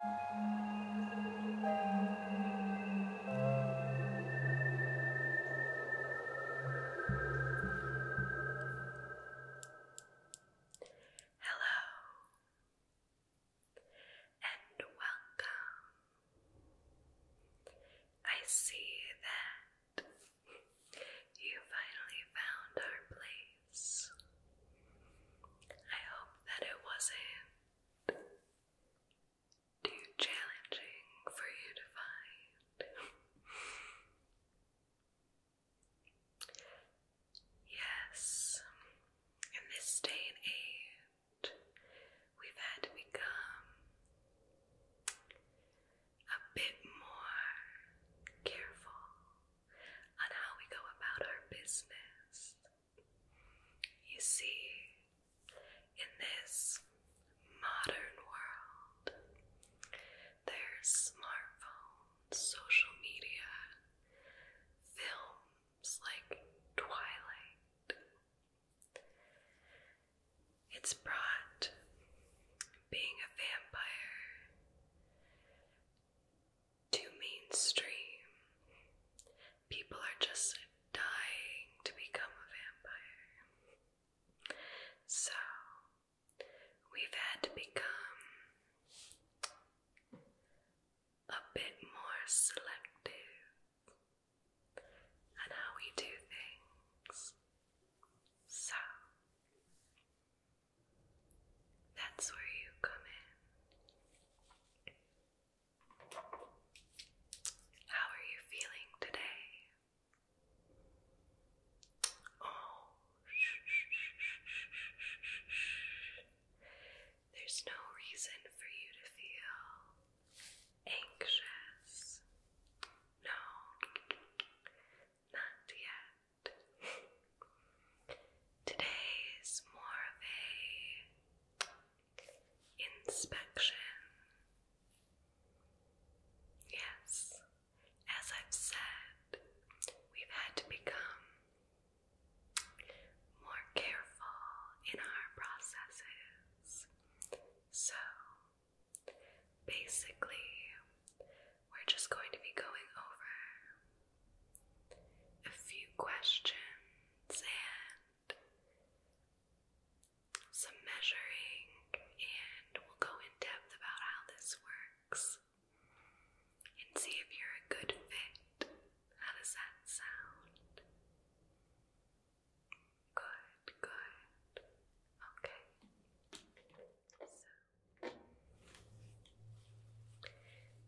Hello and welcome. I see that you finally found our place. I hope that it wasn't too challenging for you to find. yes, in this day and age, we've had to become a bit more careful on how we go about our business. You see, in this modern world, there's smartphones, social media, films like Twilight. It's brought being a vampire too mainstream. People are just dying to become a vampire. So, we've had to become a bit more selective on how we do things. So, that's where you come in. How are you feeling today? Oh, shh, shh, shh, shh, shh, shh. There's no reason for you to feel anxious. No, not yet. Today is more of a inspection. Yes, as I've said, we've had to become more careful in our processes. So basically, we're just going to be going over a few questions and some measuring, and we'll go in depth about how this works and see if you're a good fit. How does that sound? Good, good. Okay. So,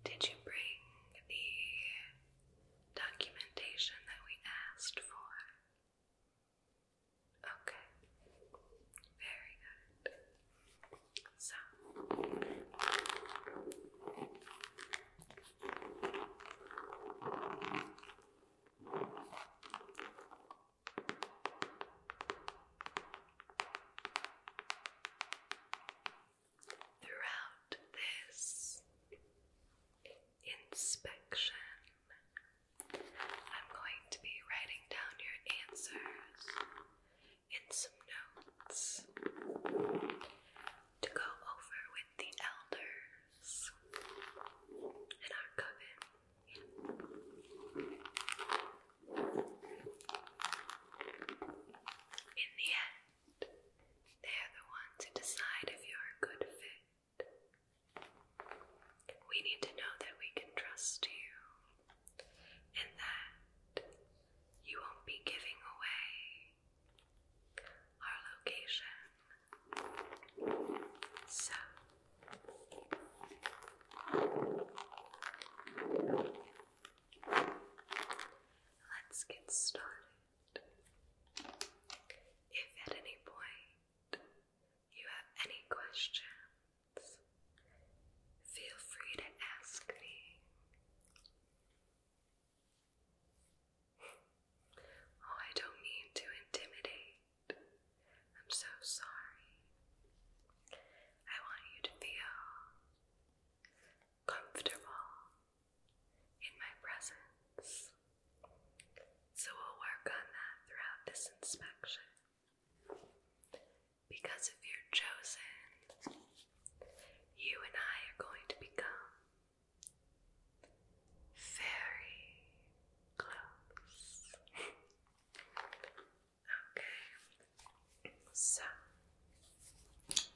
did you bring the documentation that we asked for? Okay, very good. So, Throughout this inspection, I'm going to be writing down your answers in some notes to go over with the elders in our coven. In the end, they are the ones to decide if you're a good fit. We need to know that we can trust you and that you won't be giving away our location. So, Let's get started. If at any point you have any questions, feel free to ask me. Oh, I don't mean to intimidate. I'm so sorry. I want you to feel comfortable in my presence. So we'll work on that throughout this inspection. Because if you're chosen, you and I are going to become very close. okay, so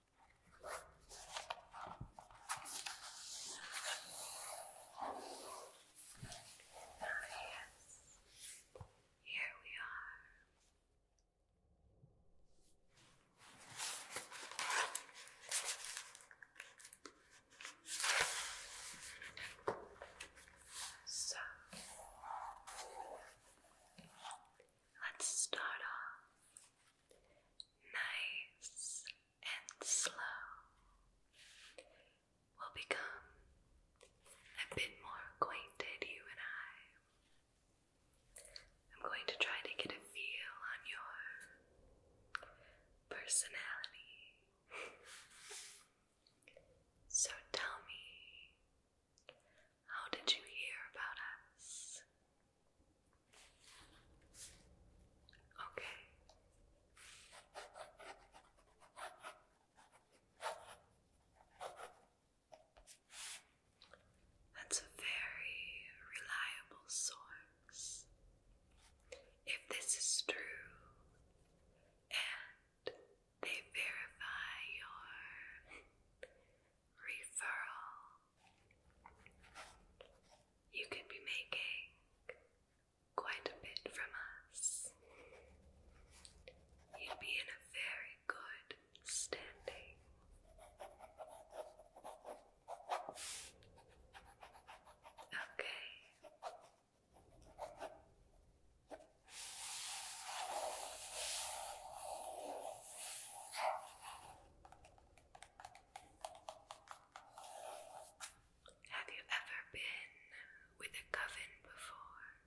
Ah, yes. Here we are. So, Let's start off nice and slow. We'll become a bit more acquainted, you and I. I'm going to try to get a feel on your personality. so tell me, how did you hear about us? Okay. That's a very reliable source. If this is true and they verify your referral. You can be making quite a bit from us. You'd be in a very good standing. Okay. Have you ever been with a coven before?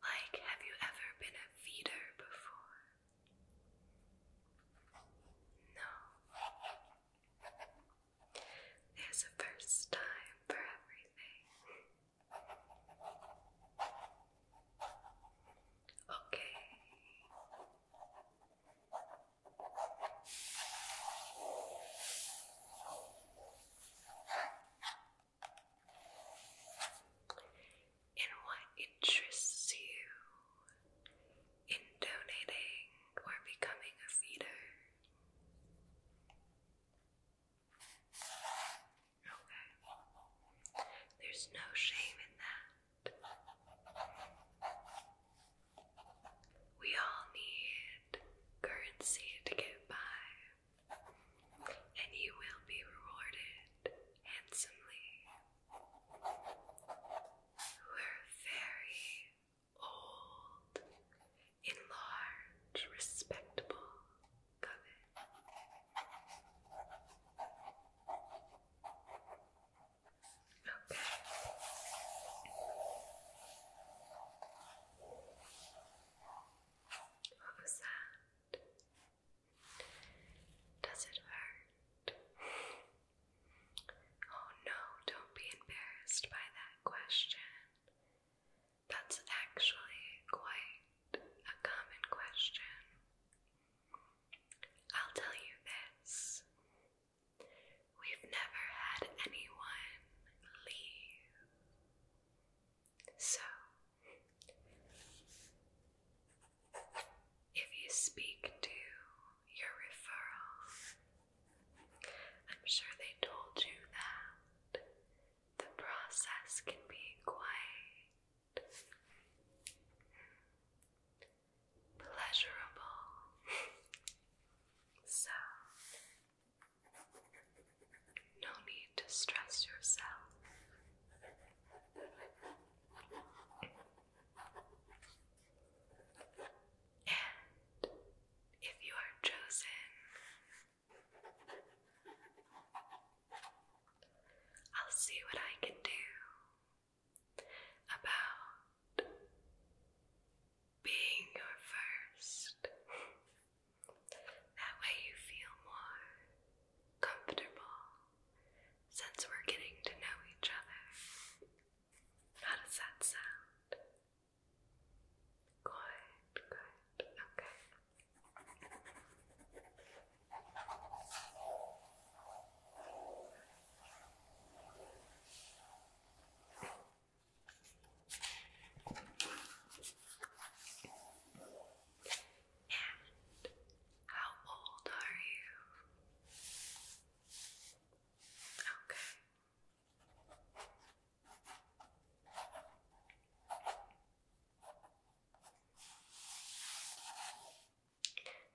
like, have you ever been a feeder before? No. There's a first time for everything. Okay. And what interests you in donating or becoming a feeder? Okay. There's no shame in that. We all need currency to get by, and you will be rewarded handsomely. We're very old a large, respectable coven. Okay. What was that? Does it hurt? Oh no, don't be embarrassed by that question. That's actually quite a common question. I'll tell you this we've never had anyone leave. So, if you speak to your referral, I'm sure they told you that the process can be quite pleasurable. so, no need to stress yourself. And if you are chosen I'll see what I can do about being your first. that way you feel more comfortable since we're getting to know each other. How does that sound? Good, good, okay. And how old are you? Okay.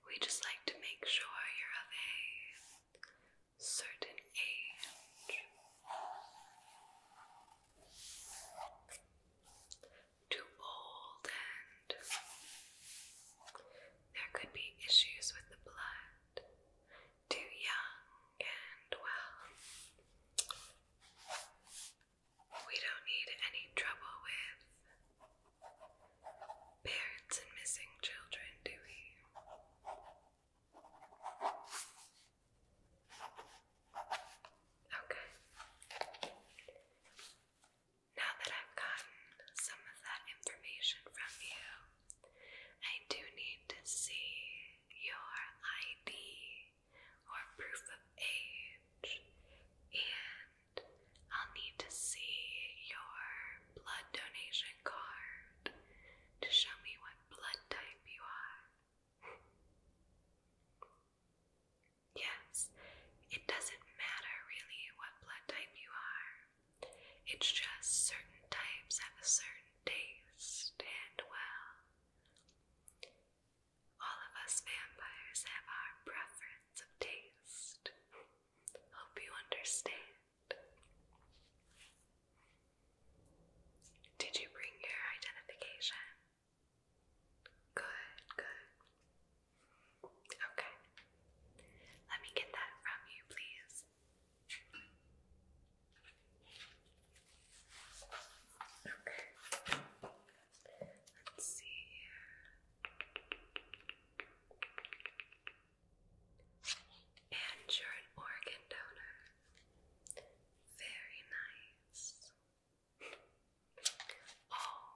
We just like to make sure you're of a certain age too old and there could be issues with the blood too young and well we don't need any trouble with parents and missing children, do we? Okay. Now that I've gotten some of that information from you, I do need to see your ID or proof of age, and I'll need to see your blood donation card to show me what blood type you are. yes, it doesn't matter really what blood type you are, it's just certain types have a certain taste and, well, all of us vampires have our preference of taste. Hope you understand. Did you bring your identification? Good, good. Okay. Let me get that from you, please. Okay. Let's see And you're an organ donor. Very nice. Oh,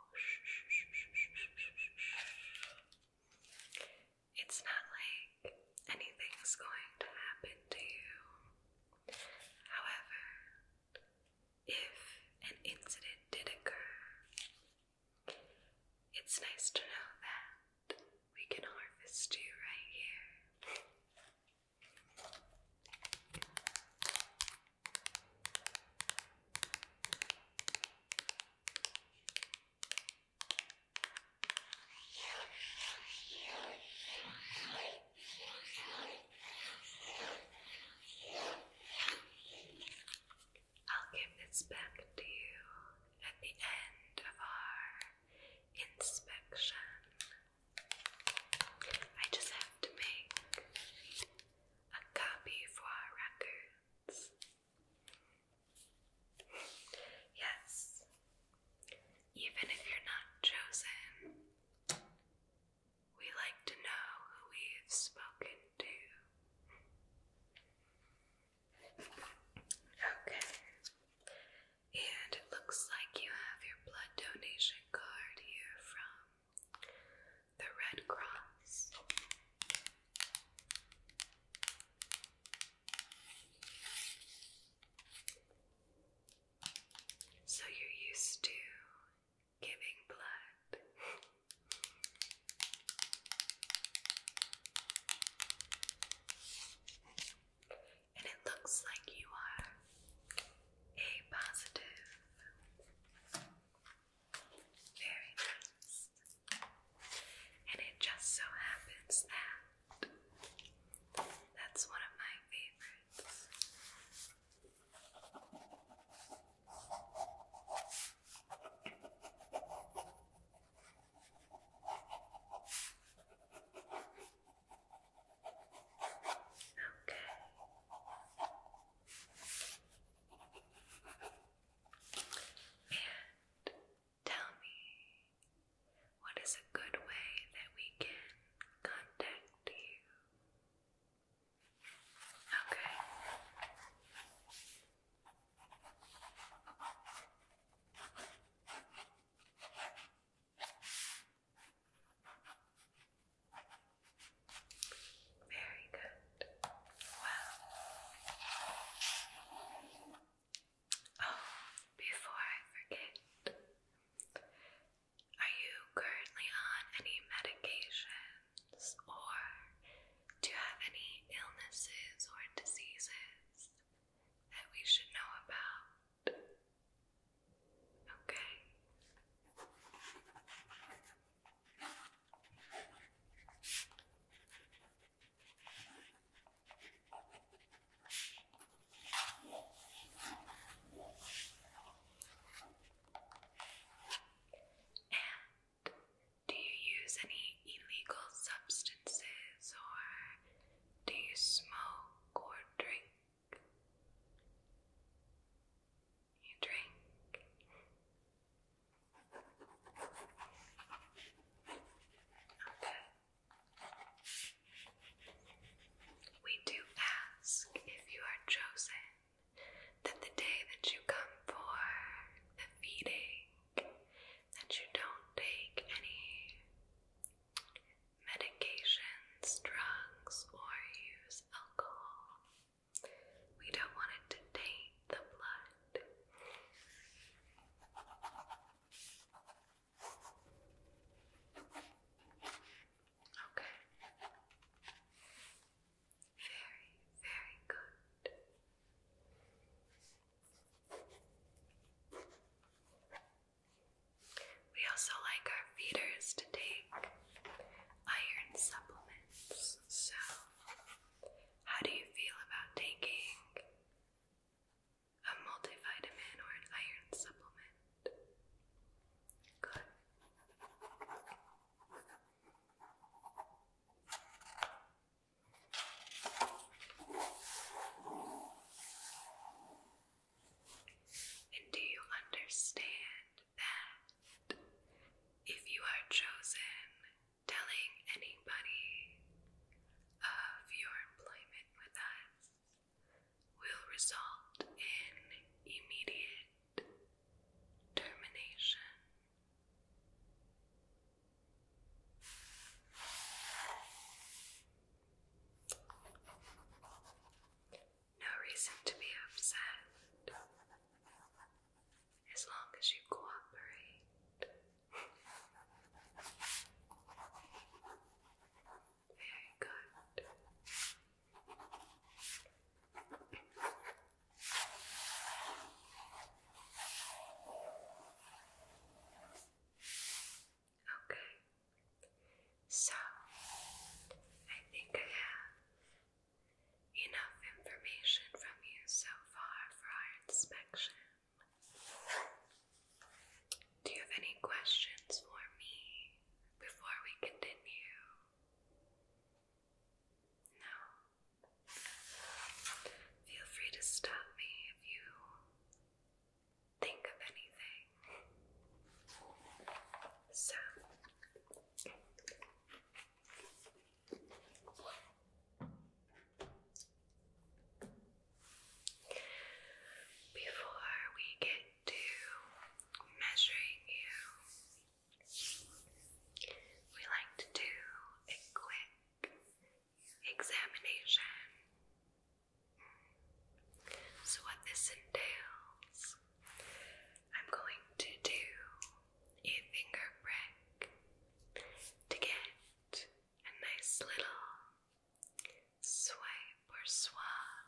It's not like anything's going to happen to you. However, if an incident did occur, it's nice to know that we can harvest you right here. I'll give this back to you at the end of our inspection. I just have to make a copy for our records. yes, even if you're not chosen, we like to know who we've spoken to. Okay. And it looks like you have your blood donation card here from the Red Cross. So you're used to giving blood. and it looks like you are a positive. Very nice. And it just so happens that that's one of my favorites. Okay. And tell me what is a good way that we can contact you? Okay. Very good. Well, oh, before I forget, are you currently on any medications or do you have any illnesses or diseases that we should know about? Okay do you use any illegal substances or do you smoke or drink? You drink. We do ask if you are chosen that the day that you come for the feeding, that you don't take any medications, drugs, or use alcohol. We don't want it to taint the blood. Okay. Very, very good. We also like our feeders to take iron supplements. So, how do you feel about taking a multivitamin or an iron supplement. Good. And do you understand that if you are chosen, telling anybody of your employment with us will result in immediate termination. No reason to be upset as long as you cooperate. Very good. Okay, so I think I have enough information from you so far for our inspection. Do you have any questions for me before we continue? No. Feel free to stop me if you think of anything. So, before we get to measuring you, we like to do a quick examination. So, what this entails, I'm going to do a finger to get a nice little swipe or swab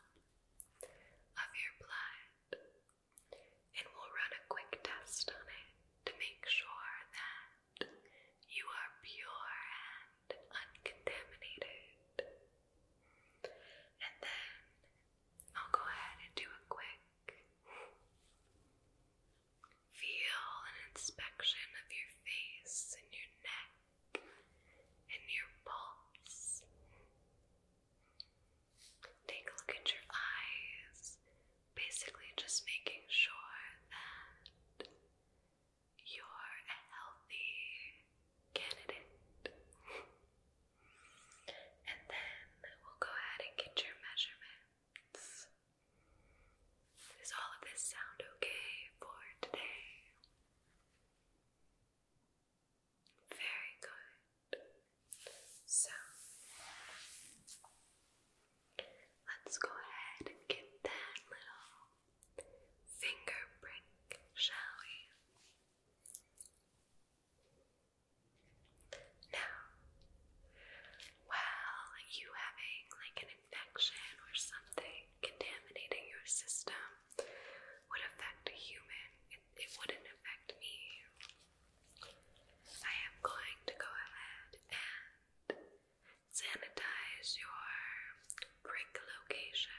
of your blood, and we'll run a quick test on it to make sure that you are pure and uncontaminated. And then I'll go ahead and do a quick feel and inspection of your face and your neck and your pulse. Take a look at your eyes, basically just making sure that you're a healthy candidate. and then we'll go ahead and get your measurements. Is all of this sound okay for today? Very good. So let's go ahead and get that little finger prick, shall we? Now, while you having like an infection or something contaminating your system, would affect a human, it, wouldn't affect me. I am going to go ahead and sanitize your prick location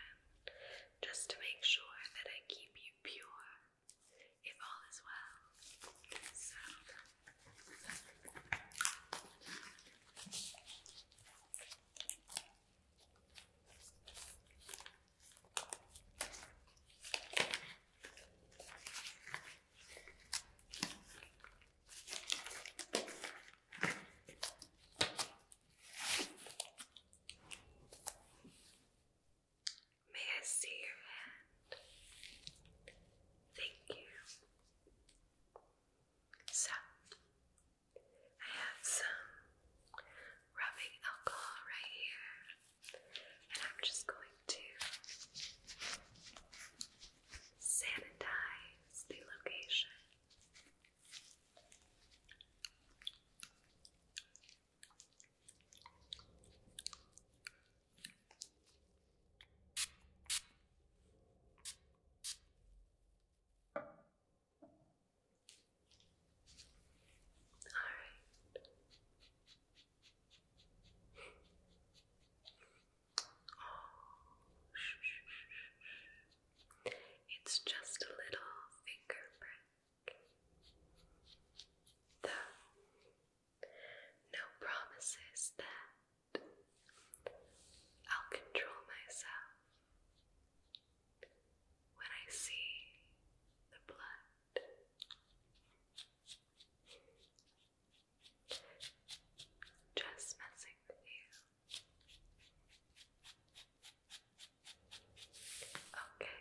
just to make sure that I keep you pure if all is well. May I see your hand? Thank you. So, I have some rubbing alcohol right here, and I'm just going to sanitize the location. Alright. Oh, It's just a little finger prick. no promises that I'll control myself when I see the blood. Just messing with you. Okay.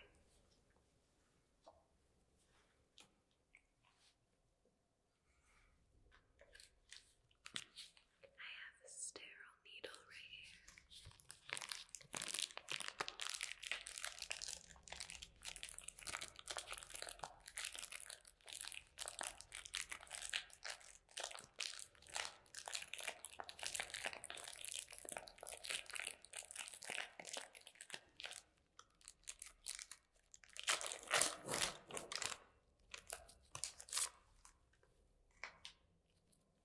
I have a sterile needle right here.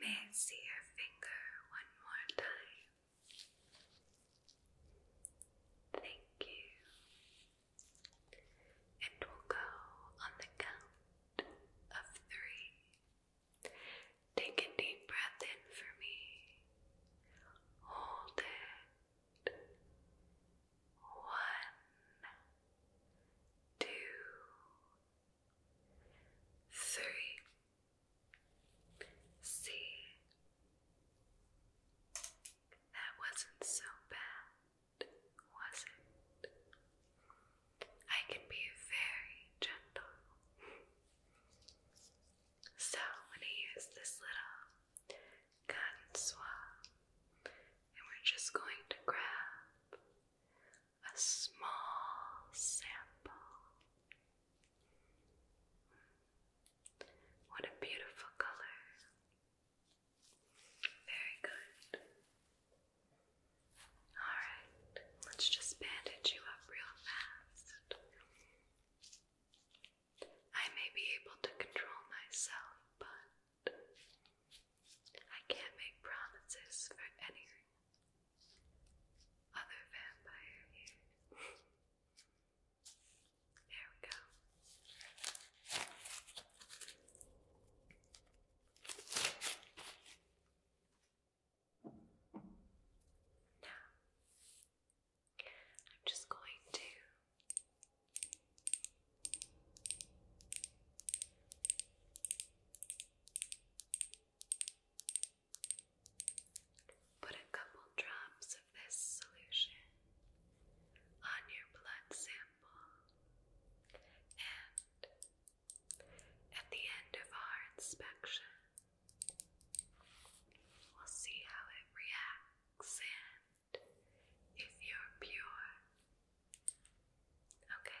May I see your finger one more time? Thank you. And will go on the count of three. Take a deep breath in for me. Hold it. One, two, three, see, that wasn't so bad, was it? I can be very gentle. So I'm going to use this little cotton swab, and we're just going to grab a small sample. What a beautiful color. Very good. Alright, let's just bandage you up real fast. I may be able to control myself, but I can't make promises for any other vampire here. there we go. Now, I'm just going to Put a couple drops of this solution on your blood sample, and at the end of our inspection, we'll see how it reacts and if you're pure. Okay.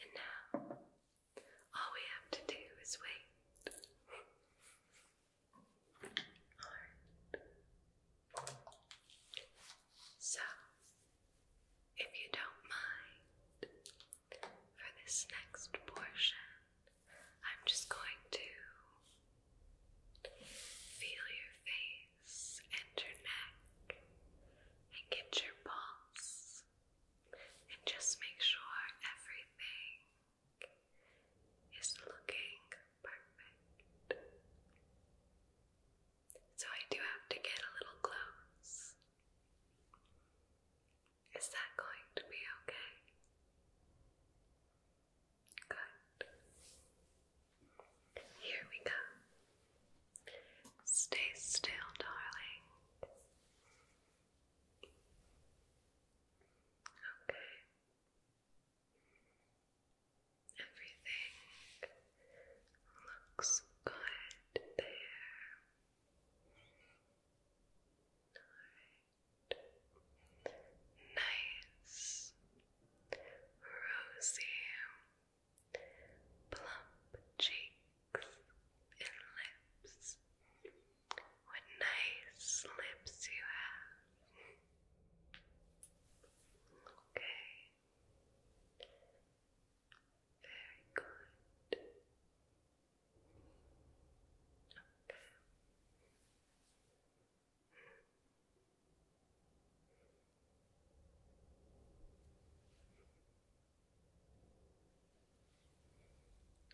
And now, all we have to do is wait. So, if you don't mind, for this next portion, I'm just going to feel your face and your neck and get your pulse and just make sure everything is looking perfect. So I do have to get a little close. Is that going to be okay? Good. Here we go. Stay still, darling. Okay. Everything looks good there. Nice, rosy, plump cheeks and lips. What nice lips you have. Okay. Very good up.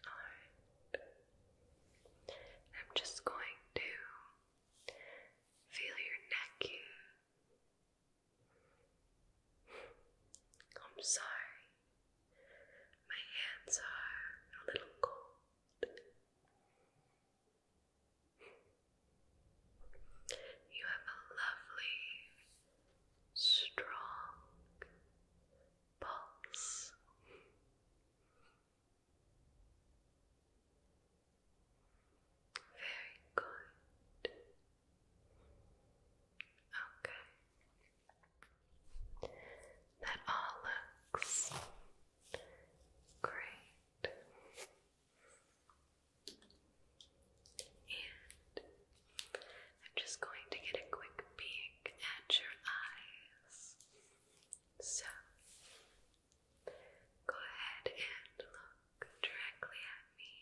All right. I'm just going to feel your neck I'm sorry. My hands are a little cold. You have a lovely, strong pulse. Very good. Okay. That all looks great. And I'm just going to get a quick peek at your eyes. So go ahead and look directly at me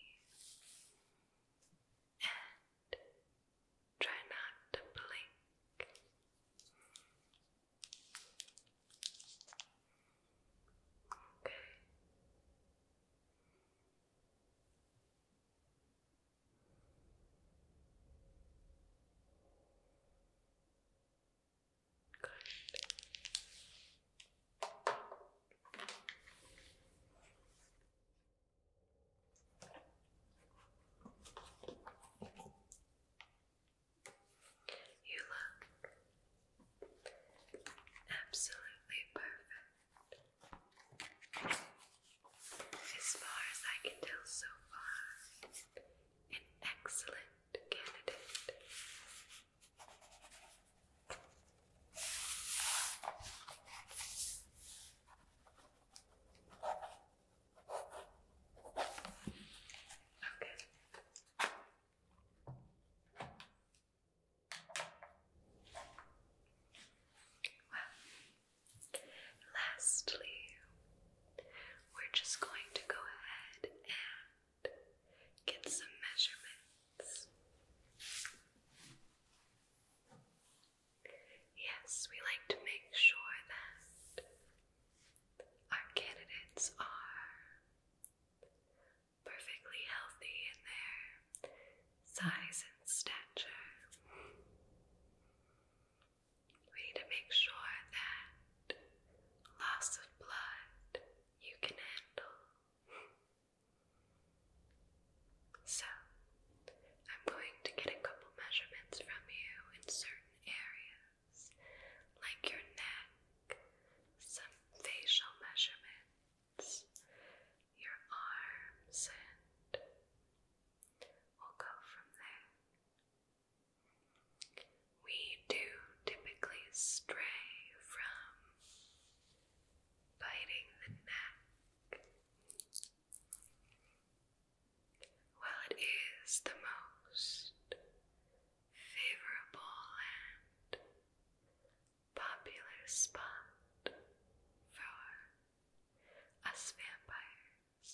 and try not to blink. Okay. Good. You look absolutely perfect. As far as I can tell so far, an excellent candidate. Well, lastly, we're just going to go ahead and get some measurements. Yes, we like to make sure that our candidates are perfectly healthy in their size and stature. We need to make sure that loss of blood you can handle. So, I'm going to get a couple measurements from you in certain areas, like your neck, some facial measurements, your arms, and we'll go from there. We do typically stray from biting the neck while it is the most favorable and popular spot for us vampires,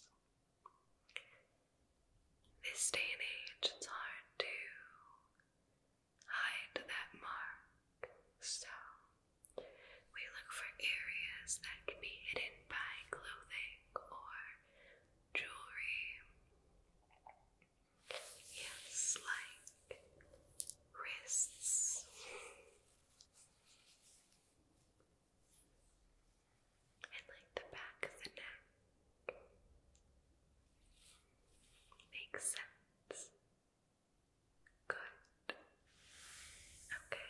this day and age it's hard to hide that mark so, we look for areas that can be hidden by clothing or jewelry. Yes, like wrists. And like the back of the neck. Makes sense. Good. Okay.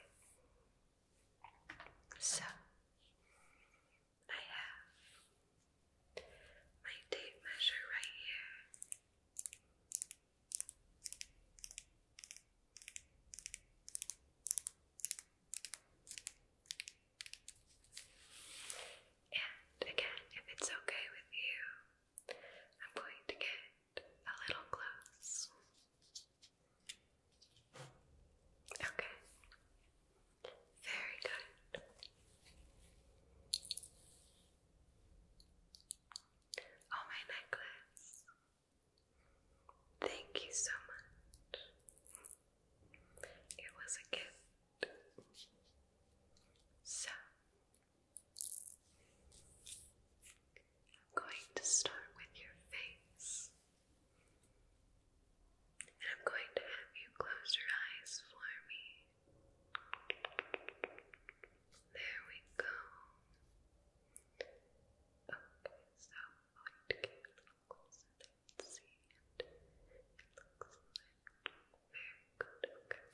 So I have my tape measure right here. And again, if it's okay with you, I'm going to get a little close. Okay. Very good. Oh, my necklace. Thank you so much. It was a gift. So, I'm going to start with your face. And I'm going to have you close your eyes for me. There we go. Okay, so I'm going to get a little closer there and see it. It looks like very good. Okay.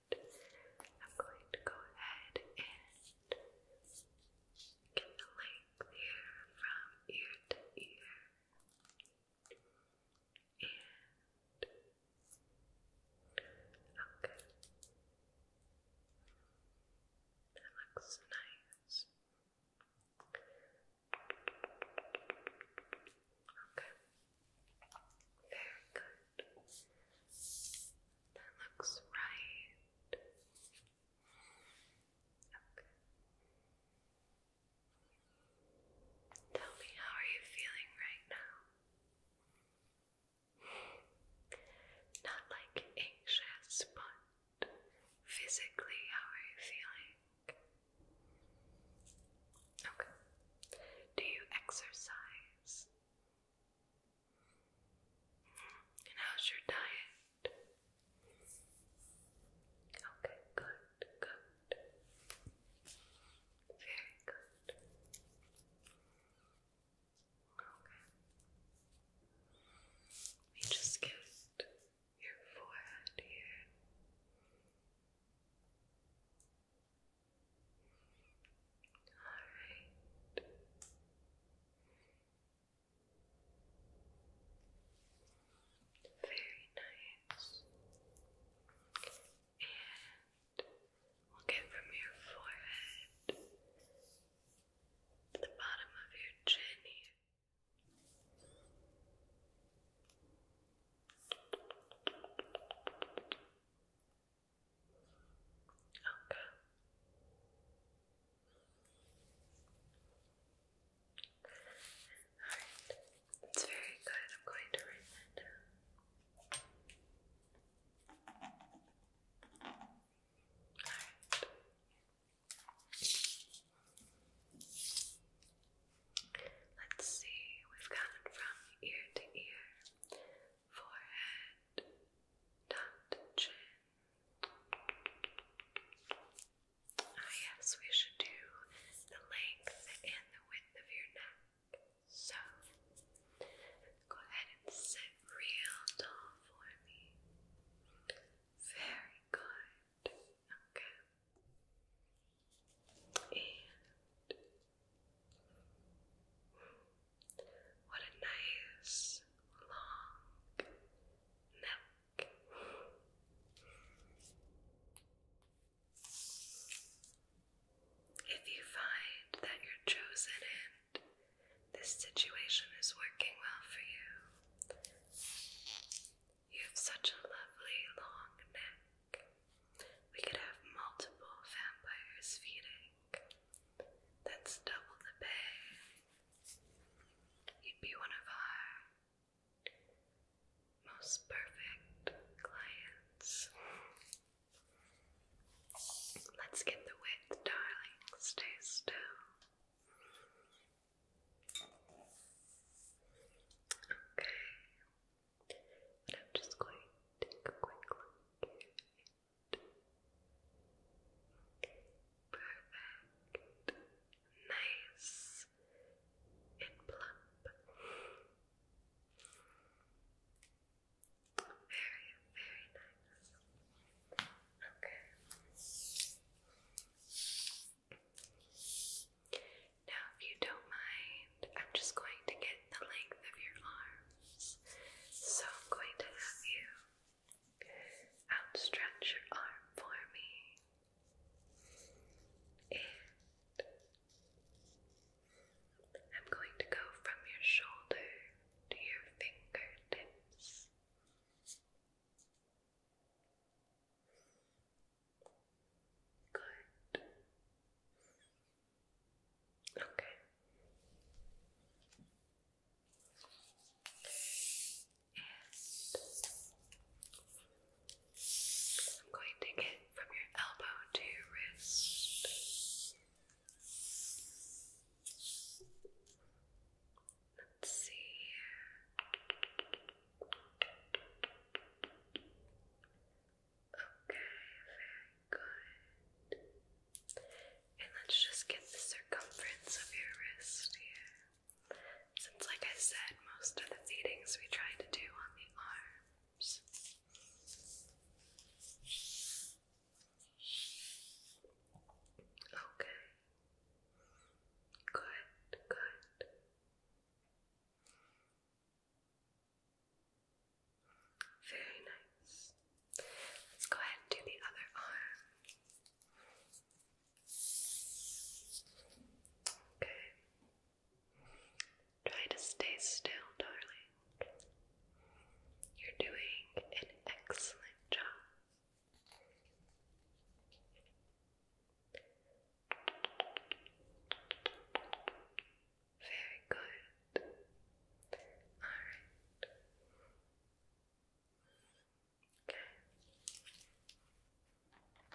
I'm going to go ahead and get the length here from ear to ear and okay that looks nice okay very good that looks right. Okay. Tell me, how are you feeling right now? Not like anxious, but physically, how are you feeling? Okay. Do you exercise? And how's your diet? Okay, good, good. Very good. Okay. We just kissed your forehead here. All right. Very nice. And we'll get from your forehead to the bottom of your chin here. Okay. Alright, it's very good. I'm going to write Alright. Let's see, we've gotten from ear to ear, forehead, Dot oh, chin. yes, we should do the length and the width of your neck. So go ahead and sit real tall for me. Very good. Okay. And what a nice long neck. If you find that your chosen end, this situation is working well for you, you have such a lovely long neck. We could have multiple vampires feeding that's double the pay. You'd be one of our most perfect clients. Let's get the width, darling. Stay still. Okay. I'm just going to take a quick look Perfect. Nice and plump. Very, very nice. Okay. Now, if you don't mind, I'm just going to get the length of your arms. So I'm going to have you outstretch your arm for me and I'm going to go from your shoulder to your fingertips. Good. Okay. I'm going to get from your elbow to your wrist. Let's see. Okay, very Good. And let's just get the circumference of your wrist here. Since, like I said, most of the feedings we try to do on the arms. Okay. Good, good. Very nice. Let's go ahead and do the other arm. Okay. Try to stay still, darling. You're doing an excellent job. Very good. All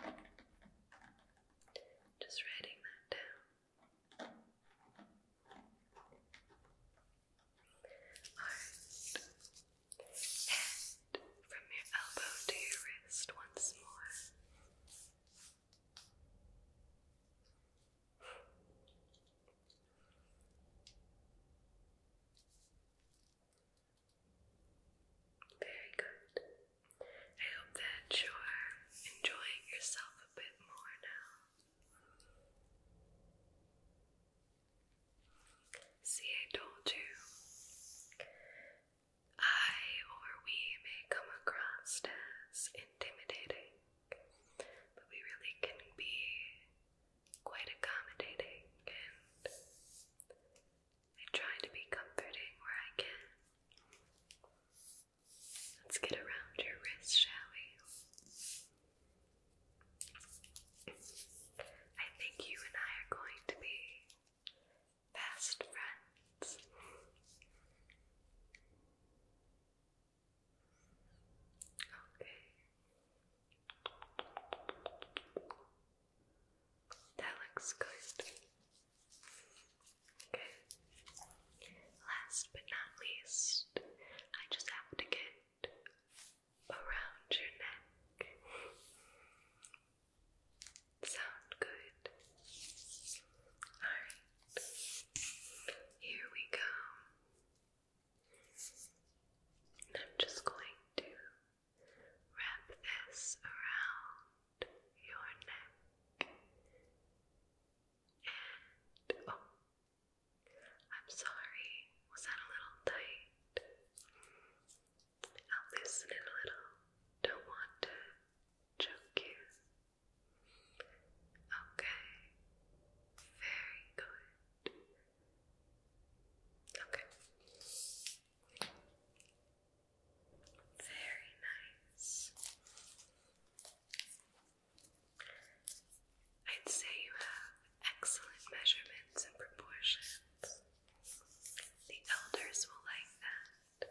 right. Okay. Just writing that down. Alright. And from your elbow to your wrist once more. Very good. I hope that you're enjoying yourself a bit more now. See, I told you. I or we may come across as intimidating. But we really can be quite accommodating and I try to be comforting where I can. Let's get around your wrist, shall we? I think you and I are going to be best friends. Okay. That looks good. Okay. Last but not least, I just have to get around your neck. Sound good? Alright. Here we go. I'm just going to wrap this around your neck. And oh, I'm sorry, was that a little tight? I'll loosen it a little. Don't want to choke you. Okay, very good. Okay. Very nice. I'd say you have excellent measurements and proportions. The elders will like that.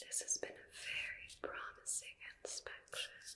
This has been a very promising inspection.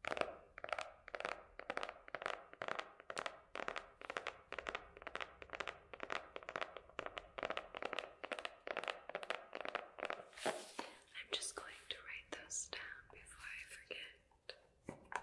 I'm just going to write those down before I forget.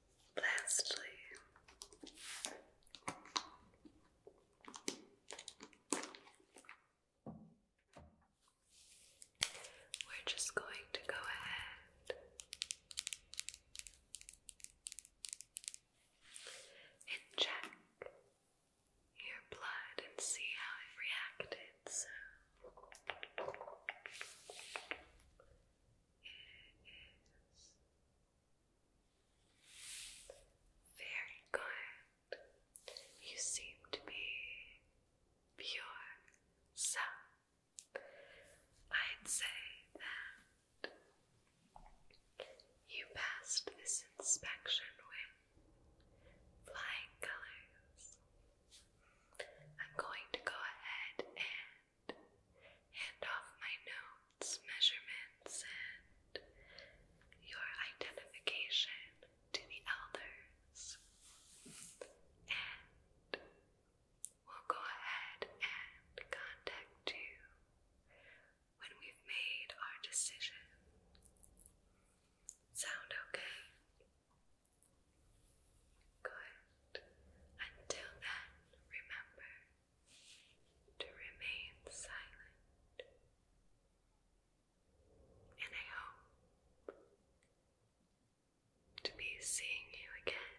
Lastly, we're just going to go ahead and check your blood and see how it reacted. So very good. You seem to be pure so I'd say that you passed this inspection with flying colors. I'm going to go ahead and hand off my notes, measurements, and your identification to the elders. And we'll go ahead and contact you when we've made our decision. Sound okay? Good. Until then, remember to remain silent, and I hope to be seeing you again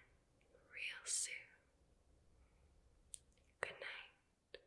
real soon. Good night.